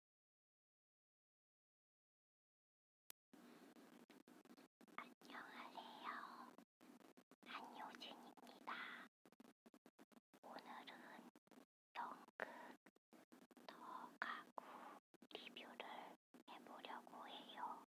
안녕하세요. 안효진입니다. 오늘은 연극 더 가구 리뷰를 해보려고 해요.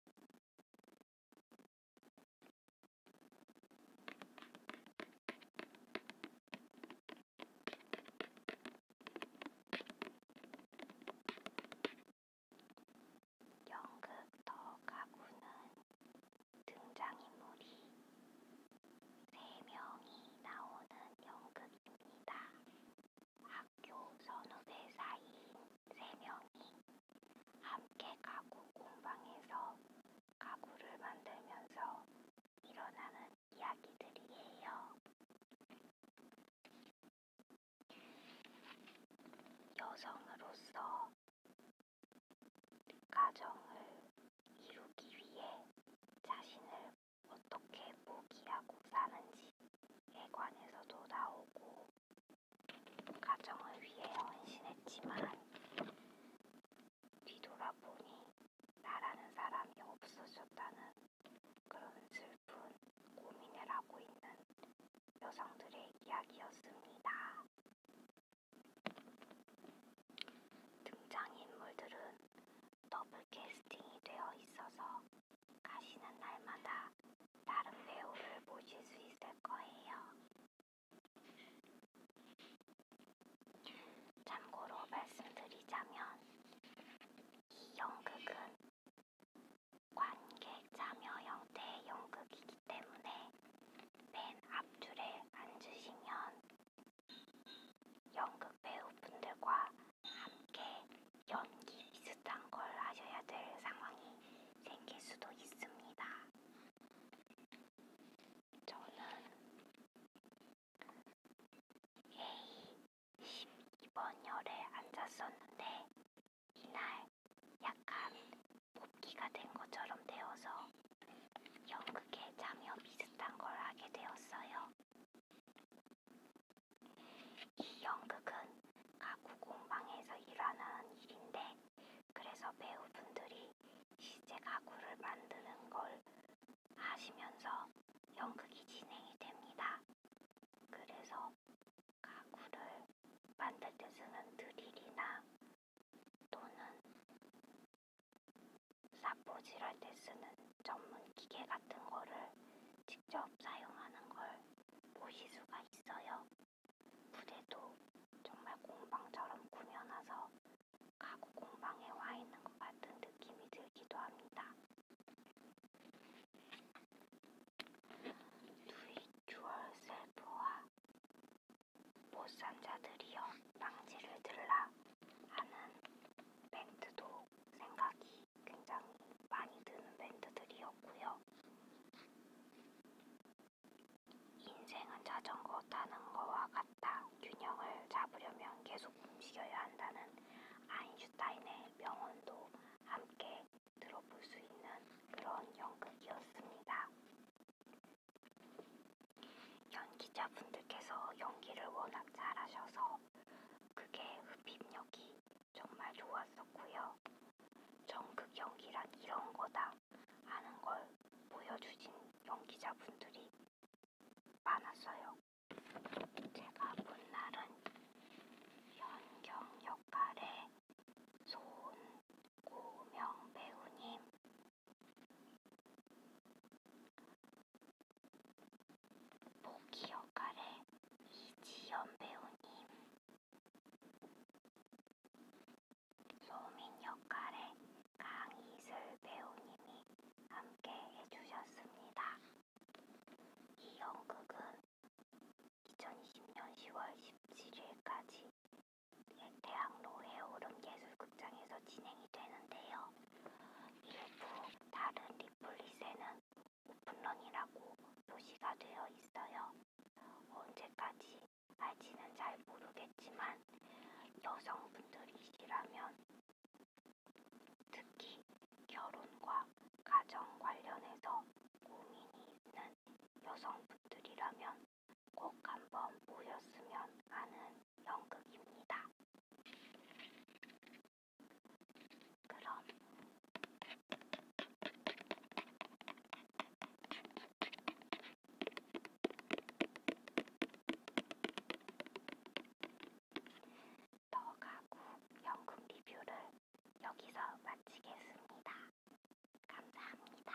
연극 더 가구는 등장인물이 세 명이 나오는 연극입니다. 학교 선후배 사이인 세 명이 함께 가구 공방에서 가구를 만들면서 일어나는 이야기들이에요. 여성으로서 가정을 이루기 위해 자신을 어떻게 포기하고 사는지에 관해서도 나오고 가정을 위해 헌신했지만 뒤돌아보니 나라는 사람이 없어졌다는 그런 슬픈 고민을 하고 있는 여성들의 이야기였습니다. 등장인물들은 더블 캐스팅이 되어 있어서 가시는 날마다 다른 배우를 모실 수 있을 거예요. 참고로 말씀드리자면 이 연극은 관객 참여 형태의 연극이기 때문에 맨 앞줄에 앉으시면 연극 배우분들과 함께 연기 비슷한 걸 하셔야 될 상황이 생길 수도 있습니다. 저는 예의 12번 열에 앉았었는데 이날 약간 복귀가 된 것처럼 되어서 연극에 참여 비슷한 걸 하게 되었어요. 이 연극은 가구 공방에서 일하는 일인데 그래서 배우분들이 시제 가구를 만드는 걸 하시면서 연극이 진행이 됩니다. 그래서 가구를 만들 때 쓰는 드릴이나 또는 사포질 할때 쓰는 전문 기계 같은 거를 직접 사용하는 걸 보실 수가 있어요. 부대도 정말 공방처럼 꾸며놔서 가구 공방에 와 있는 것 같은 느낌이 들기도 합니다. 두이주얼 셀프와 못산 자들이여 망지를 들라 하는 밴드도 생각이 굉장히 많이 드는 밴드들이었고요. 인생은 자전거 타는 거와 같다. 균형을 잡으려면 계속 움직여야 한다는 아인슈타인의 명언도 함께 들어볼 수 있는 그런 연극이었습니다. 연기자분들께서 연기를 워낙 잘하셔서 그게 흡입력이 정말 좋았었고요. 정극 연기란 이런 거다. 하는 걸 보여주신 연기자분들이 많았어요. 제가 본 날은 현경 역할의 손고명 배우님, 보기 역할의 이지연 배우님, 소민 역할에 강이슬 배우님이 함께 해주셨습니다. 이 연극은 2020년 10월 17일까지 대학로 해오름예술극장에서 진행이 되는데요. 일부 다른 리플릿에는 오픈런이라고 표시가 되어 있어요. 언제까지 알지는 잘 모르겠지만 여성분들이시라면 특히 결혼과 가정 관련해서 고민이 있는 여성분들이라면 꼭 한번 보셨으면 하는 연극입니다. 그럼 더 가구 영국 리뷰를 여기서 마치겠습니다. 감사합니다.